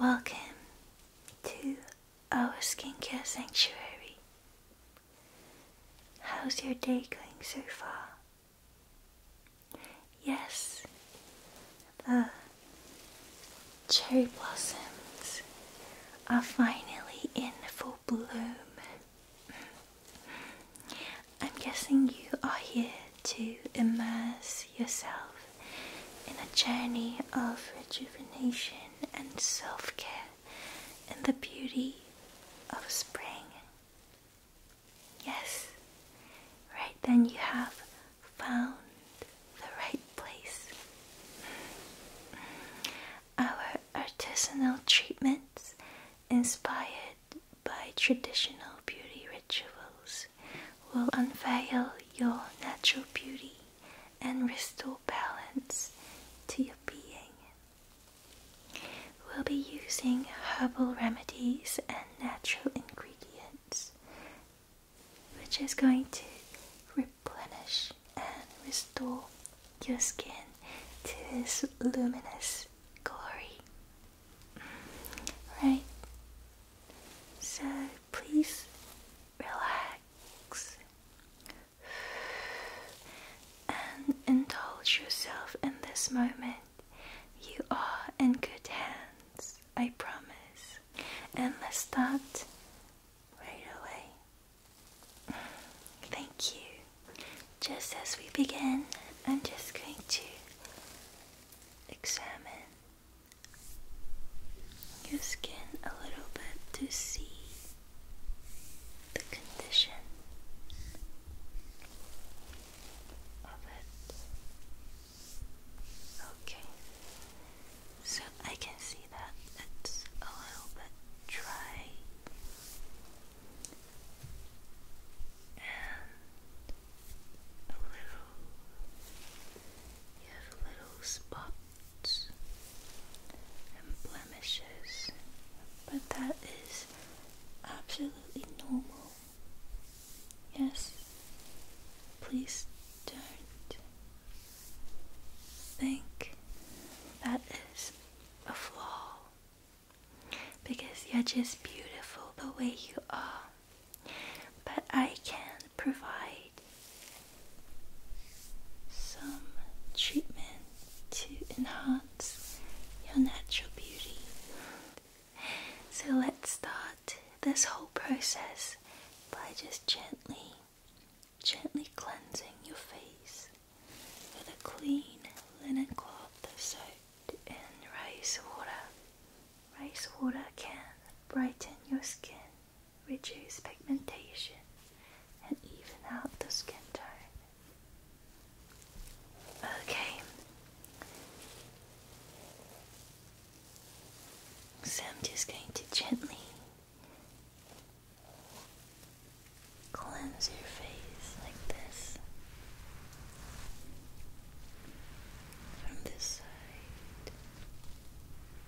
Welcome to our skincare sanctuary. How's your day going so far? Yes, the cherry blossoms are finally in full bloom. I'm guessing you are here to immerse yourself in a journey of rejuvenation and self care and the beauty of spring. Yes, right then you have found the right place. Our artisanal treatments, inspired by traditional beauty rituals, will unveil your natural beauty and restore balance to your being. We'll be using herbal remedies and natural ingredients, which is going to replenish and restore your skin to its luminous glory. Right? So please relax, and indulge yourself in this moment. You are in good hands, I promise. And let's start right away. Thank you. Just as we begin, I'm just going to examine your skin a little bit to see the condition of it. Okay, so I can see that it's a little bit dry, and a little, you have a little spot and blemishes, but that is absolutely normal. Yes, please don't think that is a flaw because you're just beautiful the way you are. But I can provide some treatment to enhance your natural beauty. So let's start this whole process by just gently, gently cleansing your face with a clean linen cloth soaked in rice water. Rice water can brighten your skin reduce pigmentation, and even out the skin tone. Okay, so I'm just going to gently cleanse your face like this from this side.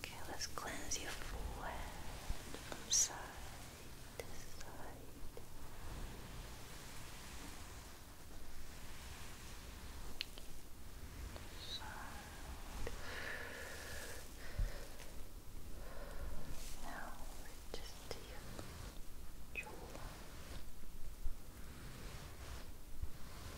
Okay, let's cleanse your forehead from side to side. Now just do your jaw.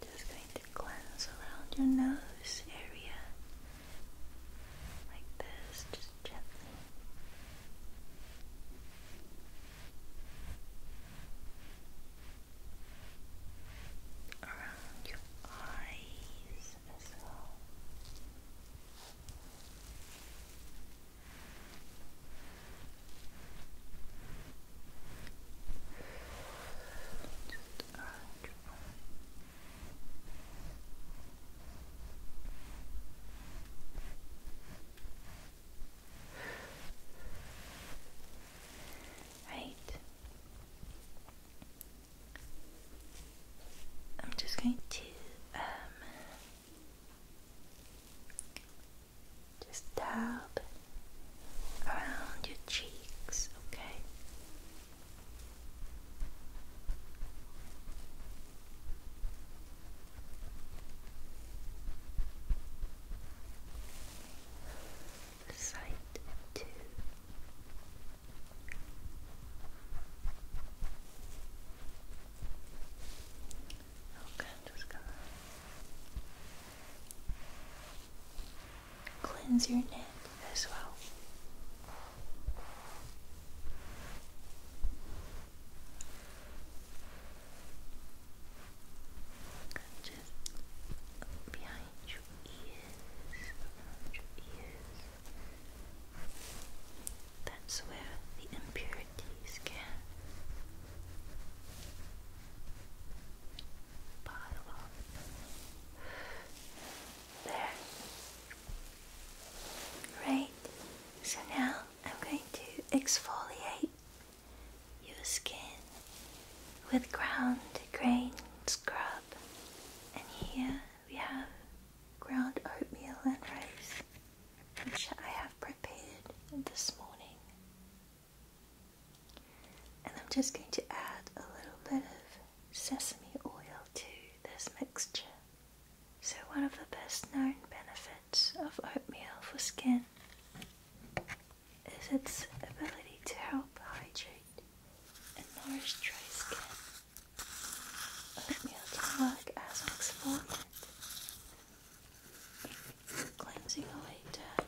Just going to glance around your nose area like this, just gently. Around your eyes as well. Just around Right. I'm just going to um, just dab around your cheeks, okay? Side two. Okay, just gonna cleanse your neck as well. Just behind your ears, around your ears. That's where the impurities skin pile up there. Great. So now I'm going to exfoliate your skin with ground grain scrub, and here we have ground oatmeal and rice, which I have. prepared this morning. And I'm just going to add a little bit of sesame oil to this mixture. So, one of the best known benefits of oatmeal for skin is its ability to help hydrate and nourish dry skin. Oatmeal can work as an exfoliant cleansing away the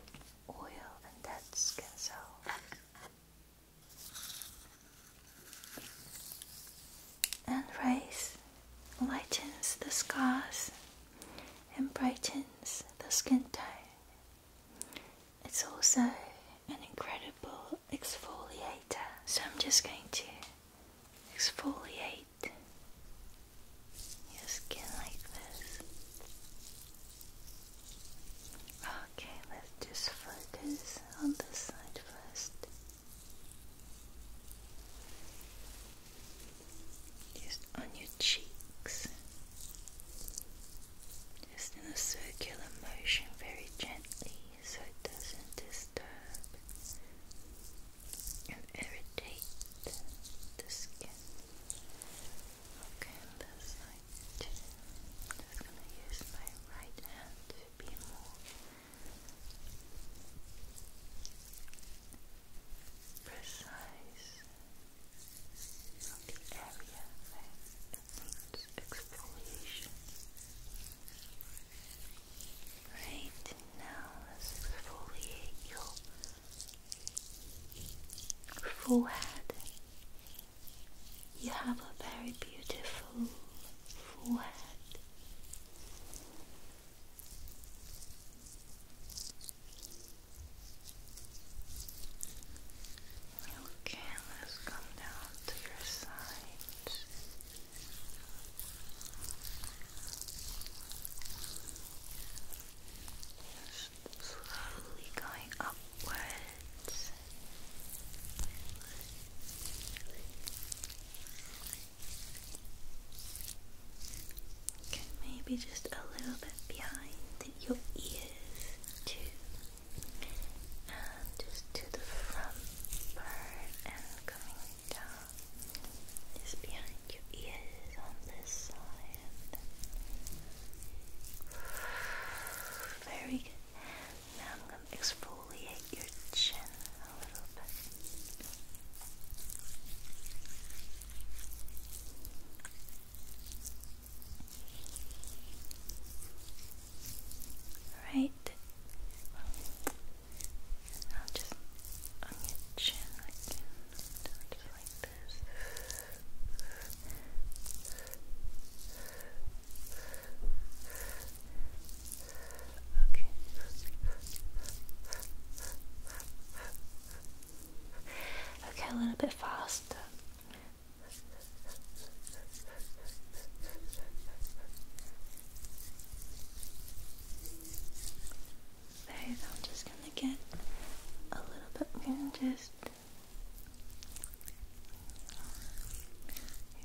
oil and dead skin cells. And rays lightens the scars and brightens the skin tone. It's also an incredible exfoliator, so I'm just going to exfoliate your skin like this. Okay, let's just focus on this side first. Just on your cheeks. Just in a circular motion, very gently, so it doesn't disturb and irritate the skin. Okay, on this side I'm just gonna use my right hand to be more precise on the area where needs exfoliation. Right now, let's exfoliate your forehead. You have a very beautiful forehead. Okay, let's come down to your sides slowly going upwards. maybe just a little bit behind your ears too. And just to the front part and coming down just behind your ears on this side. Very good. Now I'm going to exfoliate your chin a little bit. Right. I'll just on your chin again, just like this. Okay. Okay, a little bit faster. So I'm just going to get a little bit more just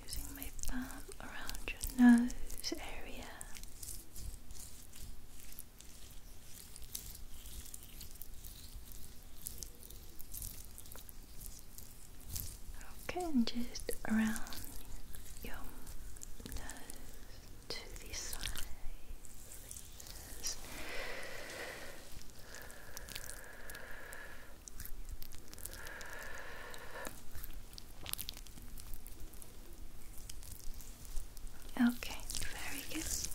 using my thumb around your nose area. Okay, and just around your nose to the side Okay, very good. Just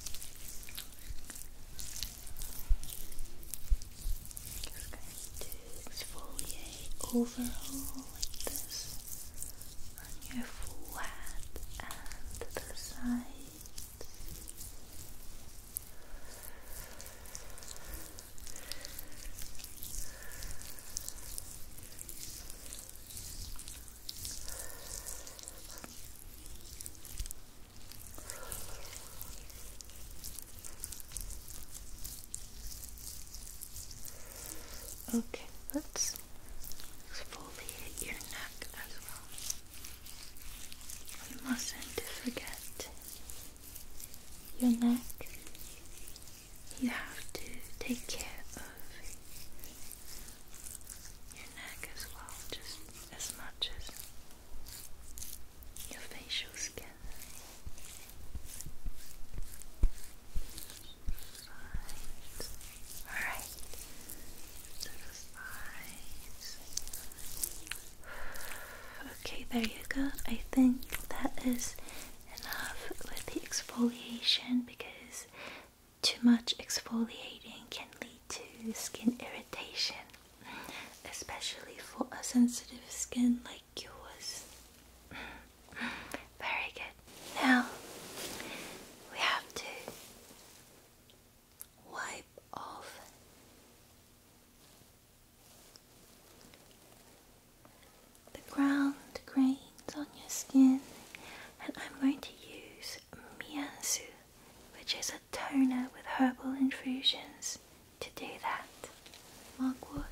going to exfoliate overall this on your forehead and the side. Okay, let's exfoliate your neck as well. We mustn't forget your neck. You have to take care of your neck as well, just as much as your facial skin. Alright. Okay, there you go. I think that is enough with the exfoliation because too much exfoliating can lead to skin irritation, especially for a sensitive skin like yours. Very good. Now we have to wipe off the ground grains on your skin, and I'm going to use Miansu, which is a toner with herbal infusions, to do that. Mugwort,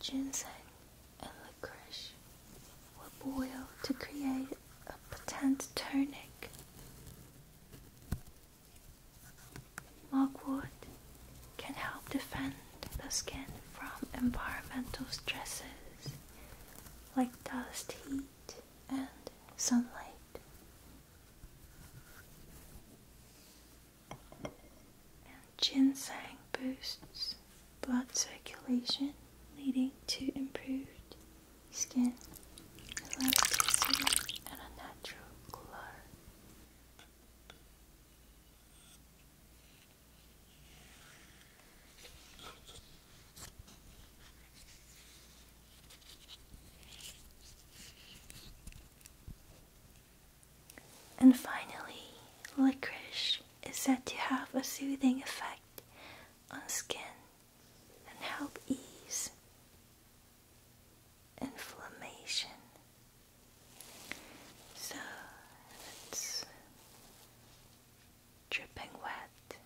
ginseng, and licorice will boil to create a potent tonic. Mugwort can help defend the skin from environmental stresses like dust, heat, and sunlight. Ginseng boosts blood circulation, leading to improved skin elasticity and a natural glow. And finally, licorice is said to have a soothing effect on skin and help ease inflammation. So it's dripping wet,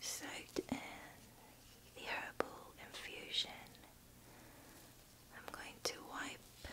soaked in the herbal infusion. I'm going to wipe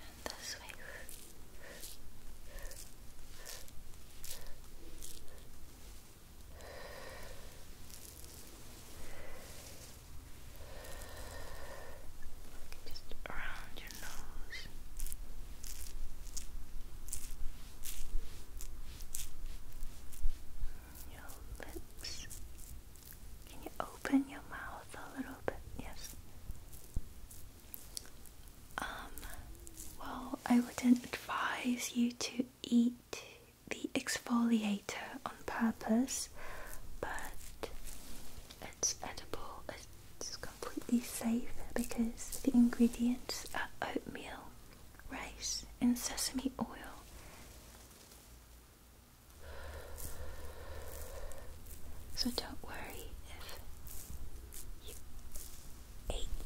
And this way. Just around your nose. Your lips. Can you open your mouth a little bit? Yes. Um, well, I wouldn't advise you to eat the exfoliator on purpose, but it's edible, it's completely safe because the ingredients are oatmeal, rice, and sesame oil. So don't worry if you ate,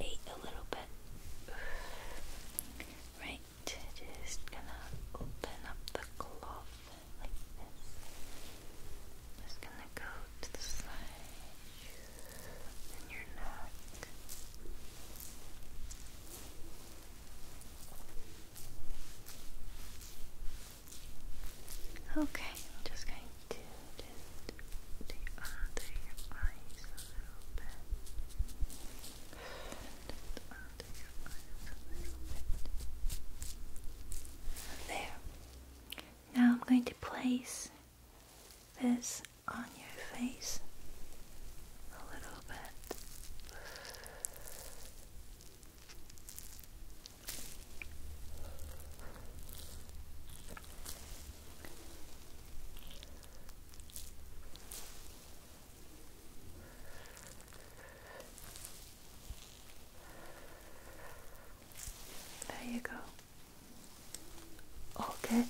ate a little bit. Right, just gonna open up the cloth Just gonna go to the side and your neck. Okay, just going to under your eyes a little bit. under your eyes a little bit. There. Now I'm going to place this on your face a little bit. There you go. All good.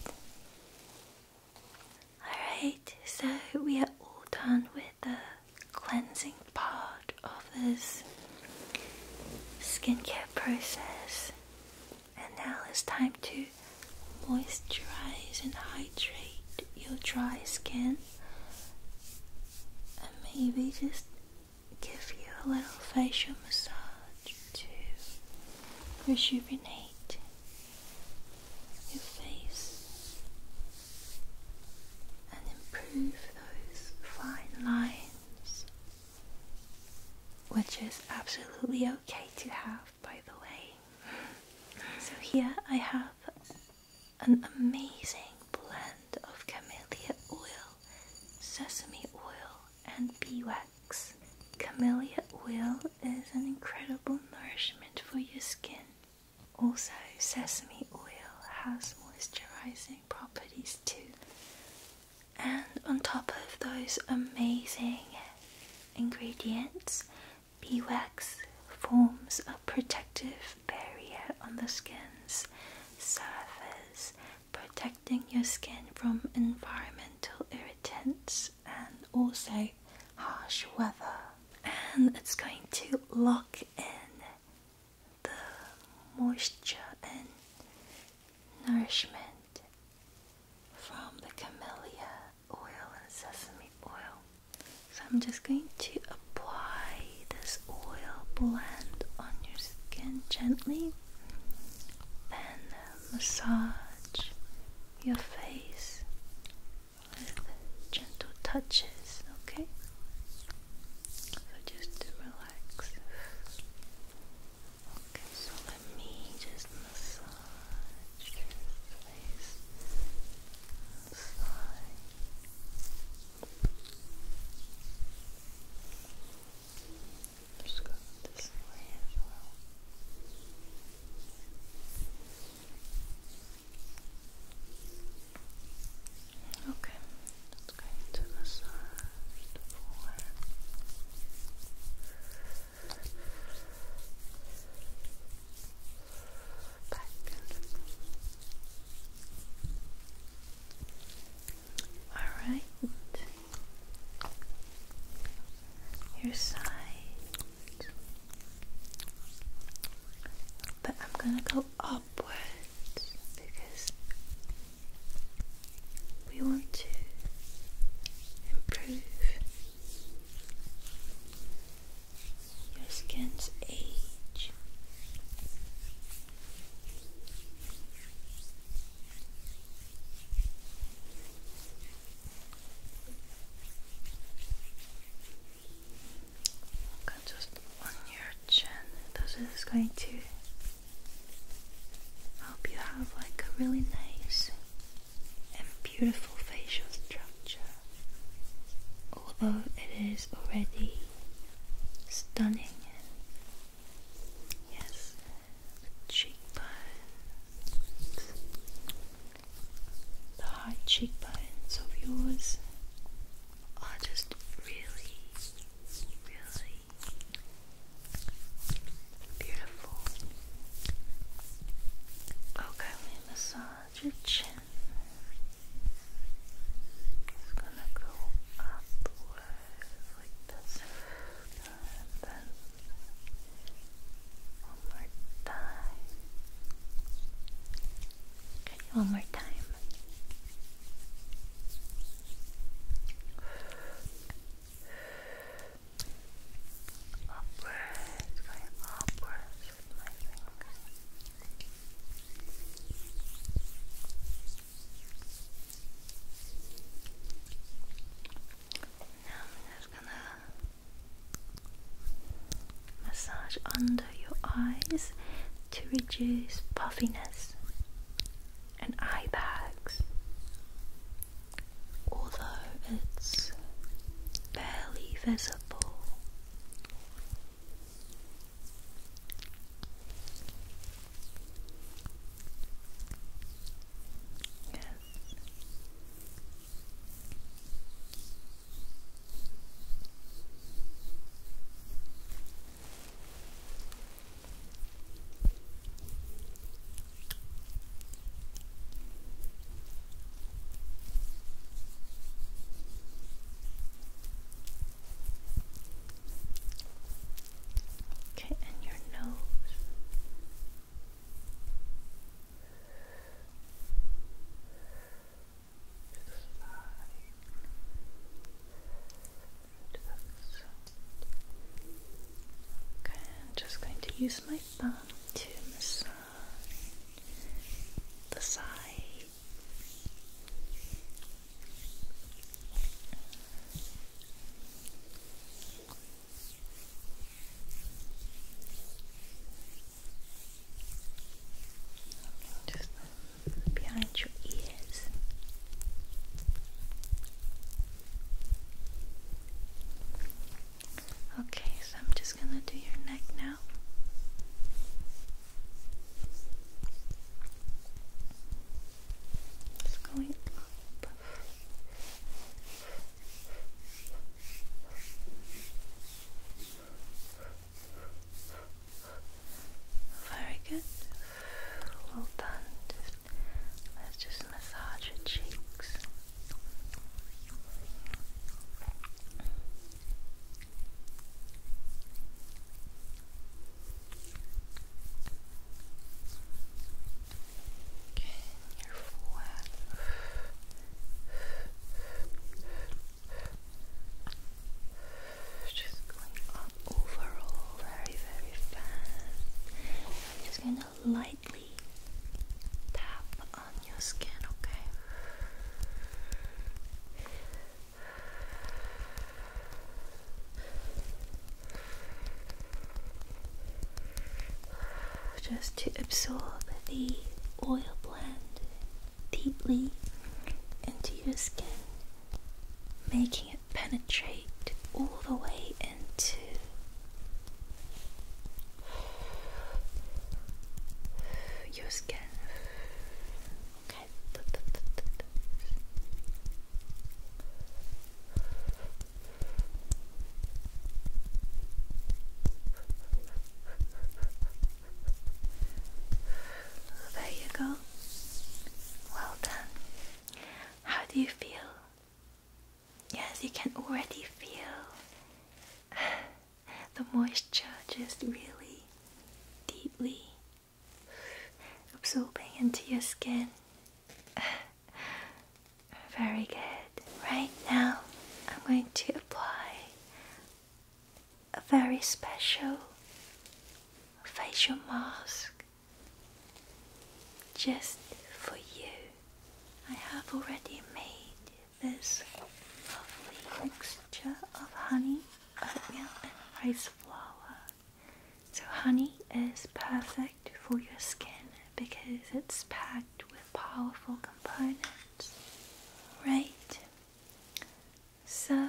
Alright, so we are all done with the cleansing part of this skincare process, and now it's time to moisturize and hydrate your dry skin and maybe just give you a little facial massage to rejuvenate your face and improve those fine lines, which is absolutely okay to have, by the way. So, here I have an amazing blend of camellia oil, sesame oil, and bee wax. Camellia oil is an incredible nourishment for your skin. Also, sesame oil has moisturizing properties too. And on top of those amazing ingredients, beeswax forms a protective barrier on the skin's surface, protecting your skin from environmental irritants and also harsh weather and it's going to lock in the moisture and nourishment from the camellia oil and sesame oil. So I'm just going to apply this oil blend on your skin gently, then massage your face with gentle touches, okay? So just relax. Okay, so let me just massage your face. Massage. Just go this way as well. Okay, it's going to the forehead. Back All right. Your side. But I'm gonna go upwards because we want to improve your skin's age. Okay, just on your chin. This is going to help you have like a really nice and beautiful facial structure. Although it is already stunning. Yes, cheekbones the high cheekbones of yours are just really, really beautiful. Okay, we massage your chin. It's gonna go upward like this, and then more time. Okay, one more time. Upwards, going upwards Now I'm just gonna Massage under your eyes to reduce puffiness and eye bags. Although it's barely visible, yes. Okay, and your nose to the side, to the side. Okay, I'm just going to use my thumb to massage the side. Okay. Just behind your ears. Okay, so I'm just gonna do your neck now. Just going up. Very good. Well done. let's just massage your cheeks. Okay, your forehead. Just going up overall very, very fast. I'm just going to lightly tap on your skin, okay? Just to absorb the oil deeply into your skin, making it penetrate all the way into your skin. There you go. Well done. How do you feel? Yes, you can already feel the moisture just really deeply absorbing into your skin. Very good. Right now, I'm going to apply a very special facial mask just for you. I have already made this lovely mixture of honey, oatmeal, and rice flour. So, honey is perfect for your skin because it's packed with powerful right? So,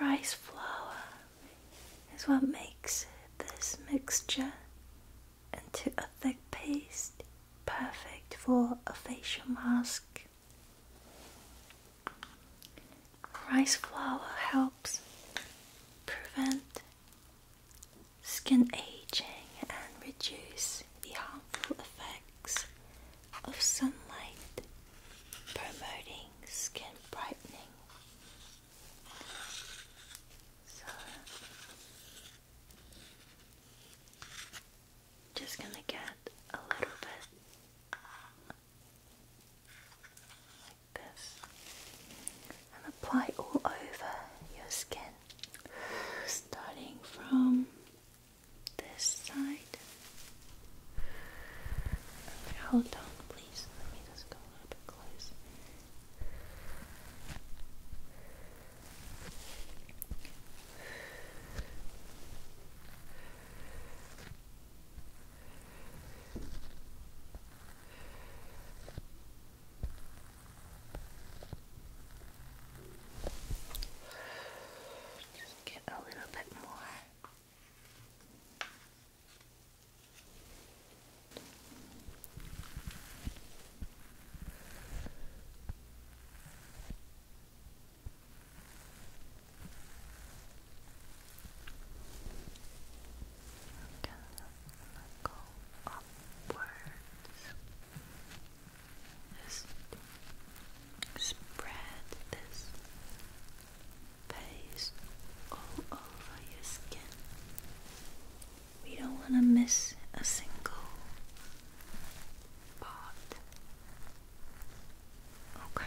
rice flour is what makes this mixture into a thick paste, perfect for a facial mask. Rice flour helps prevent skin aging and reduce the harmful effects of sunlight promoting skin brightening. So, just going to get a little bit like this and apply all over your skin, starting from this side. Hold on, please. Let me just go a bit close. Just get a little bit more. I'm going go upwards. Just spread this paste all over your skin. We don't want to miss a single part. Okay.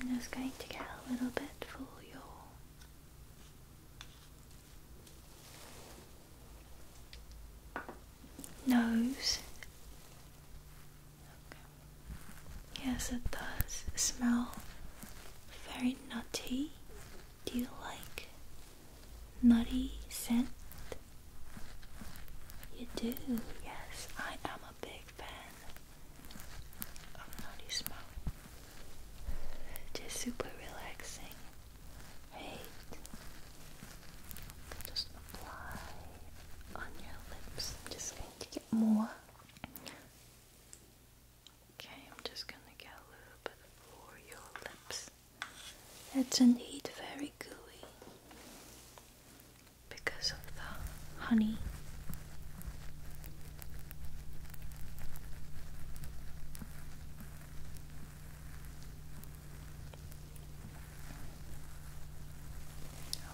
I'm just going to get a little bit for your nose. Yes, it does smell very nutty. Do you like nutty scent? You do, yes, I am a a big fan of Naughty Smoke. Just super relaxing. Right? Just apply on your lips. just going to get more. Okay, I'm just gonna get a little bit for your lips. That's indeed very gooey because of the honey.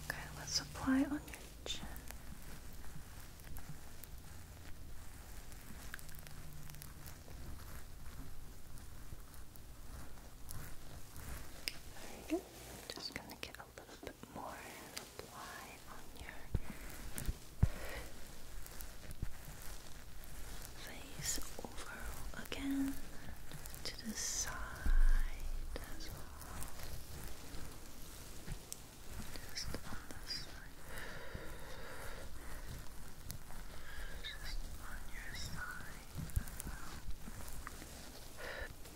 Okay, let's apply on your chin. Very just gonna get a little bit more and apply on your face overall again to the side as well. Just on this side. Just on your side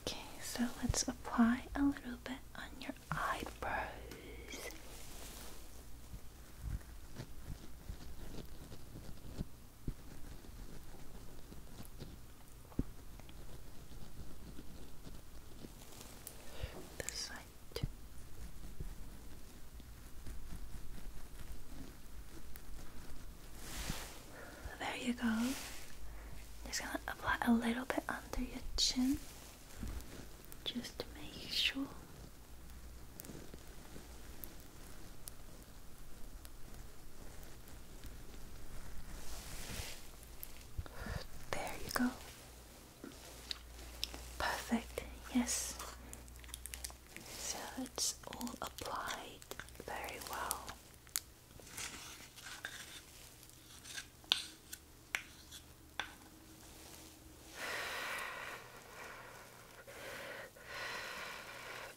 Okay, so let's apply a little bit on your eyebrows. This side there you go. Just gonna apply a little bit under your chin just to make sure. There you go. Perfect, yes. So it's all applied very well.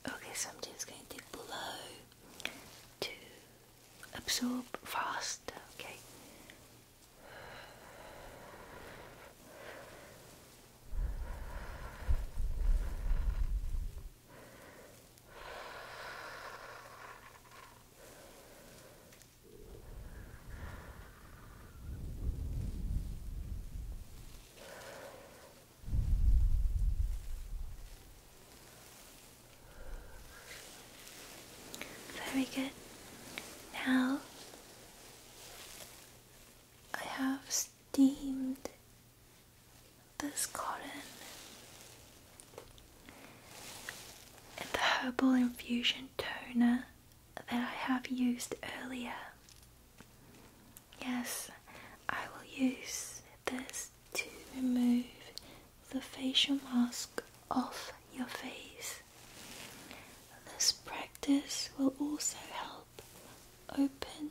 Okay, so I'm going to blow to absorb faster, Okay, very good. Now I have steamed this cotton and the herbal infusion toner that I have used earlier. Yes, I will use this to remove the facial mask off your face. This practice will also help open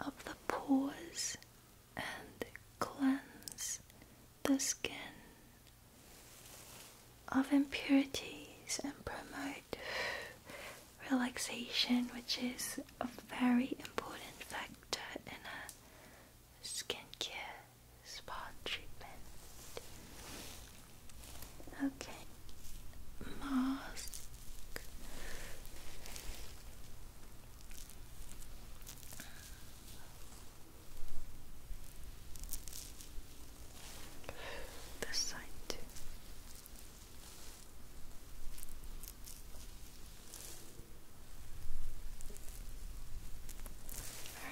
up the pores and cleanse the skin of impurities and promote relaxation, which is a very important factor in a skincare spa treatment. Okay, mask. This side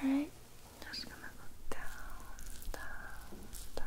All right, just gonna go down, down, down.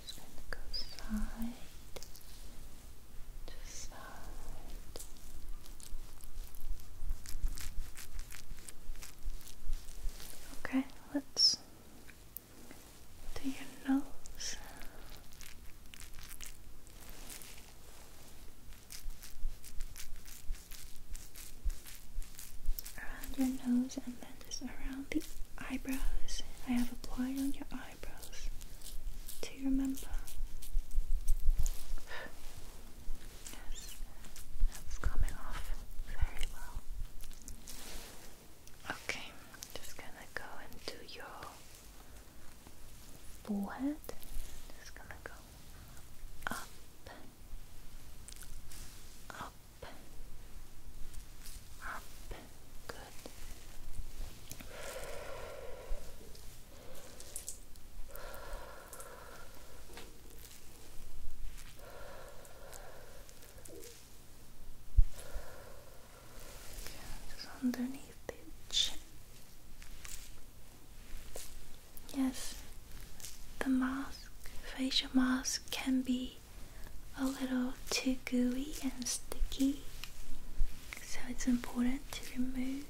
just going to go side to side. Okay, let's do your nose. Around your nose and then just around the eyebrows. I have applied on your eyes eyebrows. Do you remember? Yes, that's coming off very well. Okay, just gonna go and do your forehead. Just gonna go up, up, up, just underneath the Yes, the mask, facial mask, can be a little too gooey and sticky, so it's important to remove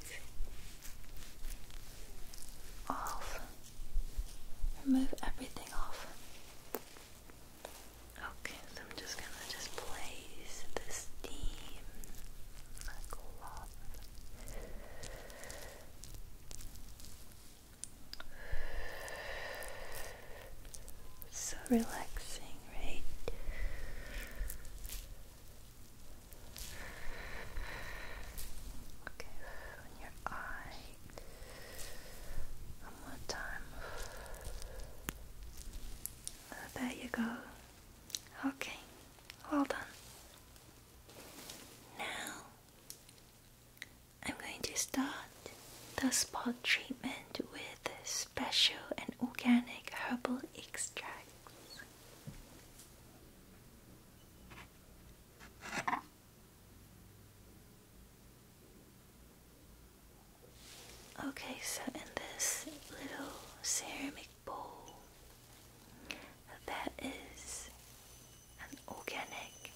off, remove everything off. Okay, so I'm just gonna just place the steam like so relaxing, right? Okay, on your eye. One more time. Oh, there you go. Okay, well done. Now I'm going to start the spot treatment with special and organic herbal extracts. Okay, so in this little ceramic bowl, that is an organic,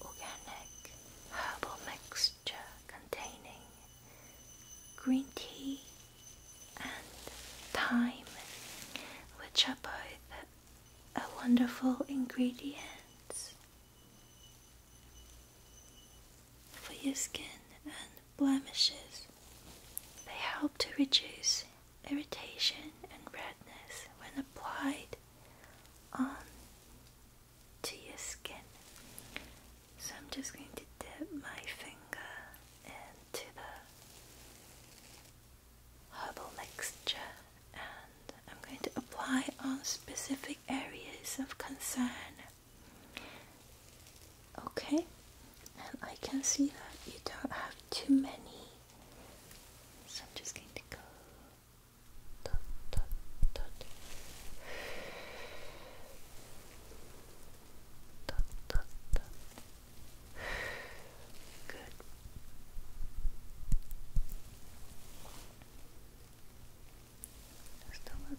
organic herbal mixture containing green tea and thyme, which are both a wonderful ingredients for your skin and blemishes. They help to reduce irritation and redness when applied on to your skin. So I'm just going to dip my finger into the herbal mixture and I'm going to apply on specific areas of concern. Okay, and I can see that you don't have too many. So I'm just going to go dot, dot, Good. Just a little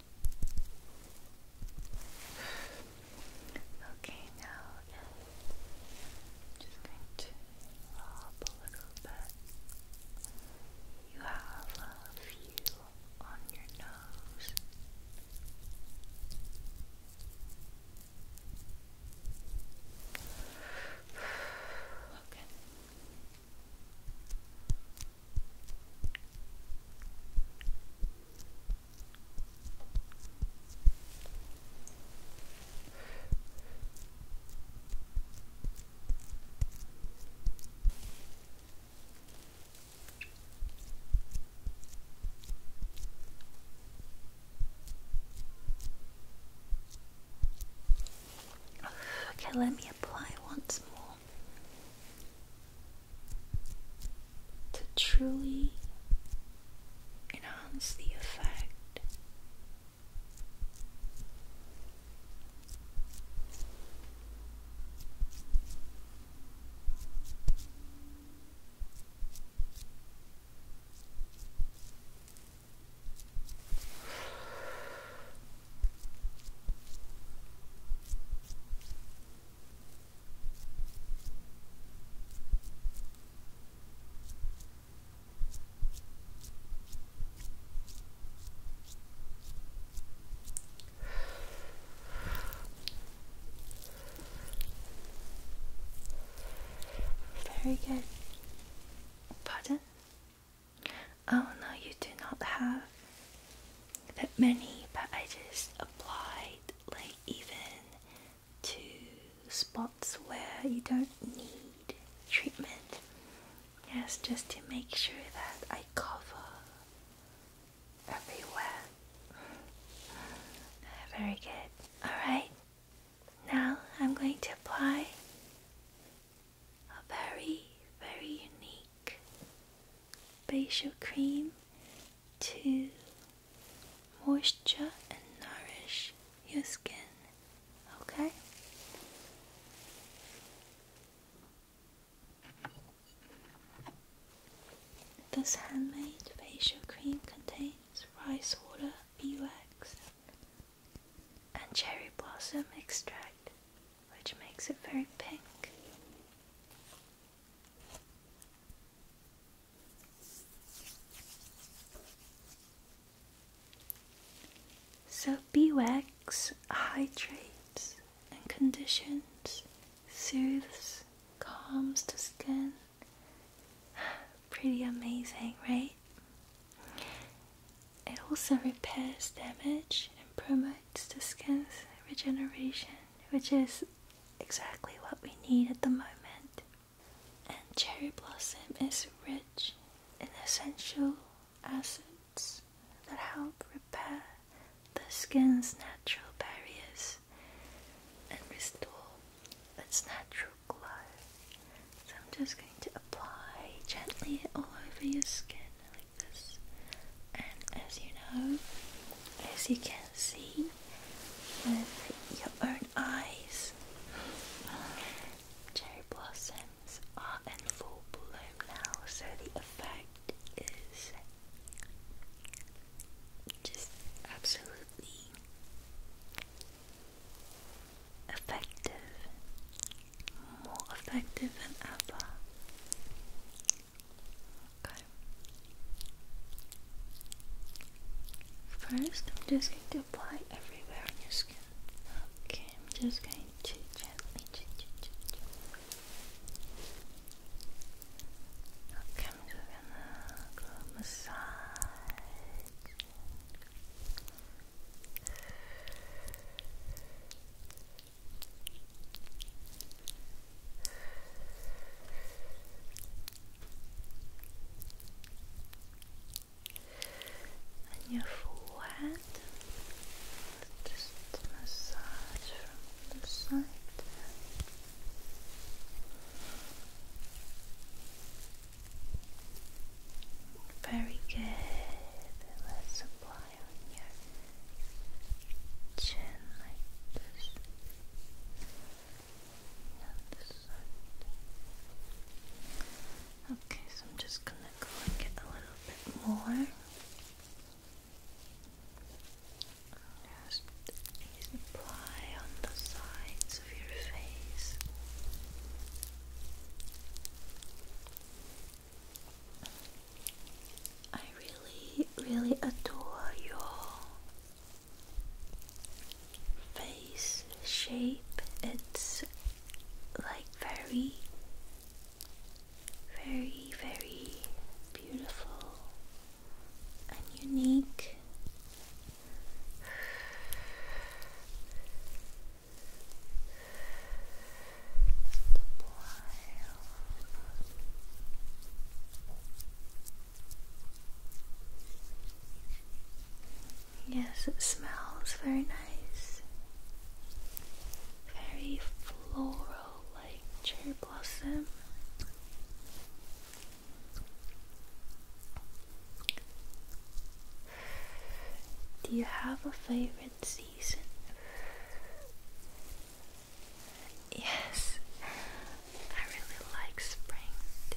Okay, now I'm just going to lob a little bit. You have a few on your nose. Okay. Okay, let me apply once more to truly enhance the effect. Very good. Pardon? Oh no, you do not have that many, but I just applied like even to spots where you don't need treatment. Yes, just to make sure that I cover everywhere. Very good. Alright, now I'm going to apply a very, very unique facial cream to moisturize and nourish your skin. Okay? This handmade facial cream contains rice water, beeswax, and cherry blossom extract which makes it very pink. So, beeswax hydrates and conditions, soothes, calms the skin. Pretty amazing, right? It also repairs damage and promotes the skin's regeneration, which is exactly what we need at the moment. And cherry blossom is rich in essential acids that help repair the skin's natural barriers and restore its natural glow. So I'm just going to apply gently all over your skin and as you know, as you can see with your own eyes, cherry blossoms are in full bloom now, so the effect is just absolutely effective more effective than ever. Okay. First, I'm just going to apply everywhere on your skin. Okay, I'm just going to gently. Okay, I'm just gonna massage. And your forehead, just massage from the side. Very good. Let's apply Okay, so I'm just gonna go and get a little bit more. Just apply on the sides of your face. I really, really adore your face shape. It's like very, very, very beautiful and unique. Yes, it smells very nice. Very floral like cherry blossom. Do you have a favorite season? Yes, I really like spring too.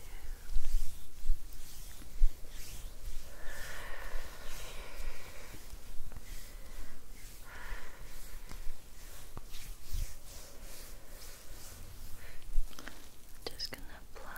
Just gonna apply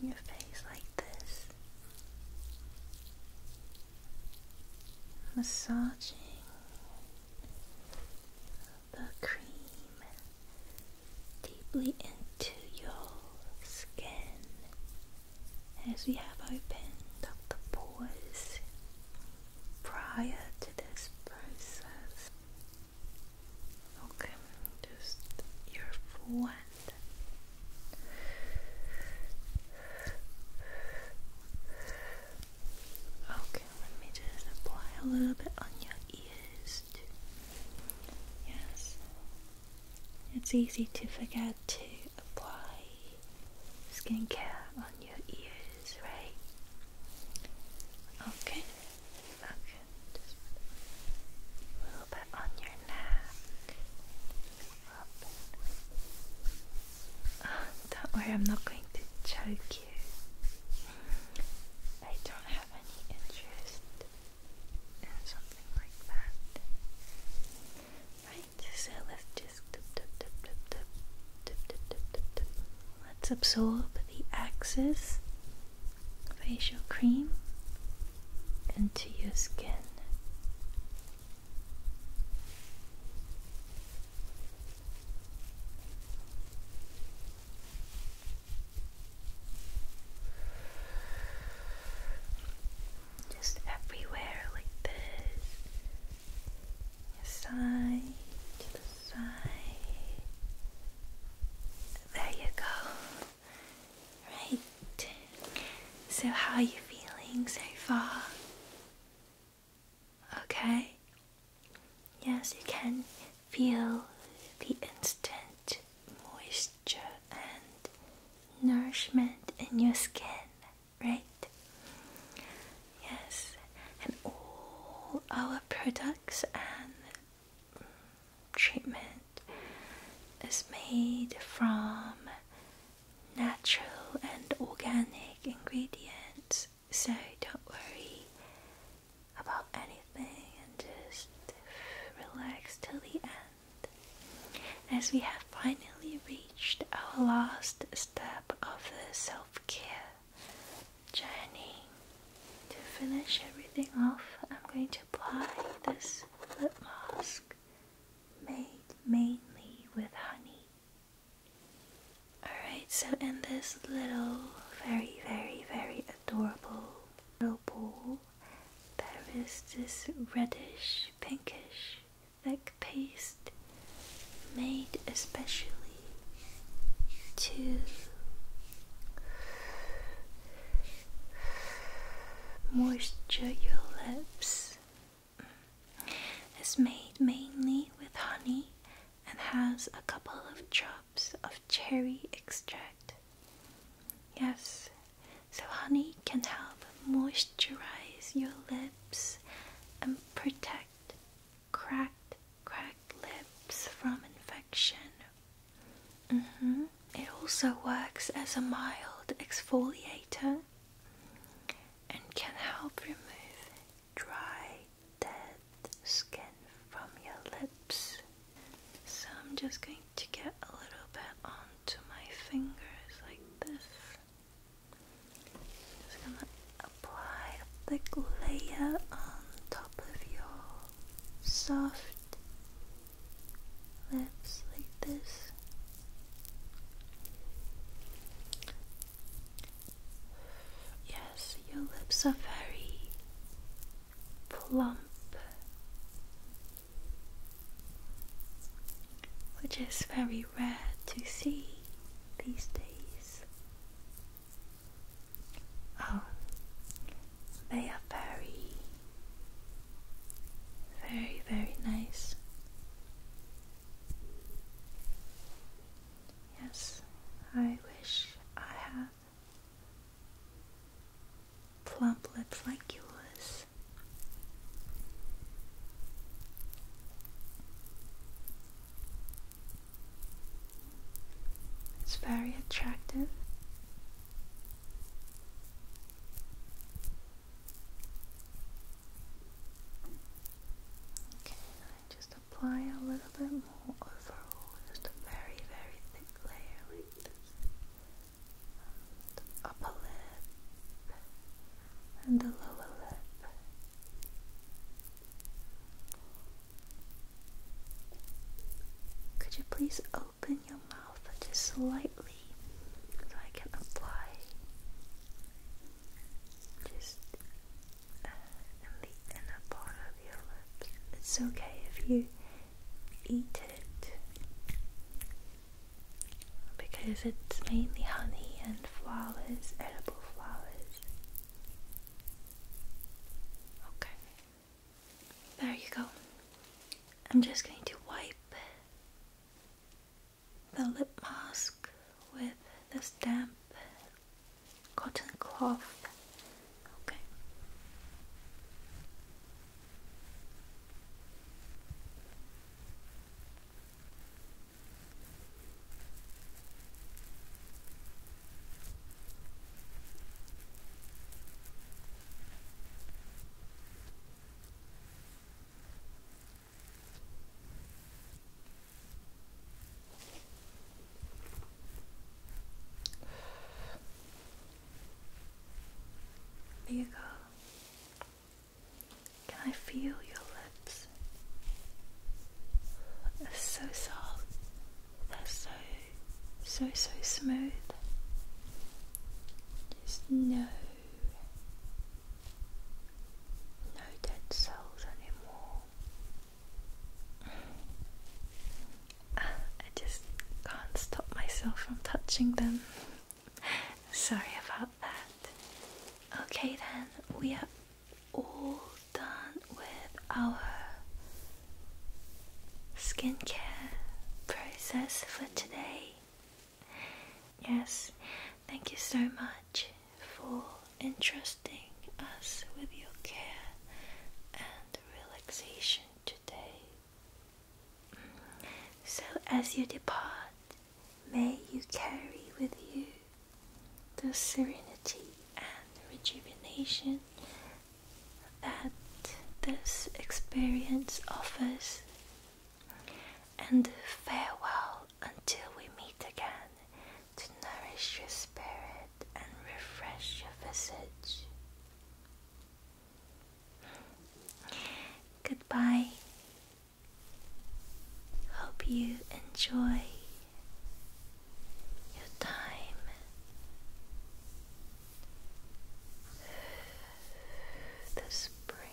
your face like this, massaging the cream deeply into your skin as we have opened up the pores prior to this process. Okay, just your forehead. Okay, let me just apply a little bit on your ears. Yes, it's easy to forget to apply skincare on your ears, right? Okay, okay, a little bit on your neck. Ah, don't worry, I'm not going to choke you. I don't have any interest something like that. Right, so let's just Let's absorb the Axis facial cream into your skin. Just everywhere like this. Side to the side. There you go. Right. So how are you feeling so far? Okay. Yes, you can feel the instant moisture and nourishment in your skin, right? Yes, and all our products and treatment is made from natural and organic ingredients, so don't worry about anything and just relax till the end. As we have finally reached our last step of the self care journey, to finish everything off, I'm going to apply this lip mask made mainly with honey. Alright, so in this little, very, very, very adorable little There is this reddish, pinkish, thick paste made especially to moisturize your lips. It's made mainly with honey and has a couple of drops of cherry extract. Yes, so honey can help moisturize your lips and protect cracked, cracked lips from infection. Mm-hmm. It also works as a mild exfoliator and can help remove dry, dead skin from your lips. So I'm just going to get a little bit onto my fingers like this. Just gonna apply a thick layer on top of your soft lips like this. Yes, your lips are very plump, which is very rare to see these days. Oh, they are very, very, very nice. Yes, I wish I had plump lips like yours. It's very attractive. Okay, I just apply a little bit more overall, just a very, very thick layer like this. upper lip and the lower lip. Could you please open your mouth just slightly so I can apply just and the inner of your lips. It's okay if you eat it because it's mainly honey and flowers, edible flowers. Okay, there you go. I'm just going to wipe the lip mask with the stamp cotton cloth. Okay. There you go. Can I feel your lips? They're so soft. They're so, so, so smooth. There's no, no dead cells anymore. I just can't stop myself from touching them. Sorry about that. Okay, then we are all done with our skincare process for today. Yes, thank you so much for entrusting us with your care and relaxation today. So, as you depart, may you carry with you the serenity and rejuvenation that this experience offers. And farewell until we meet again to nourish your spirit and refresh your visage. Goodbye. Hope you enjoy your time. The spring.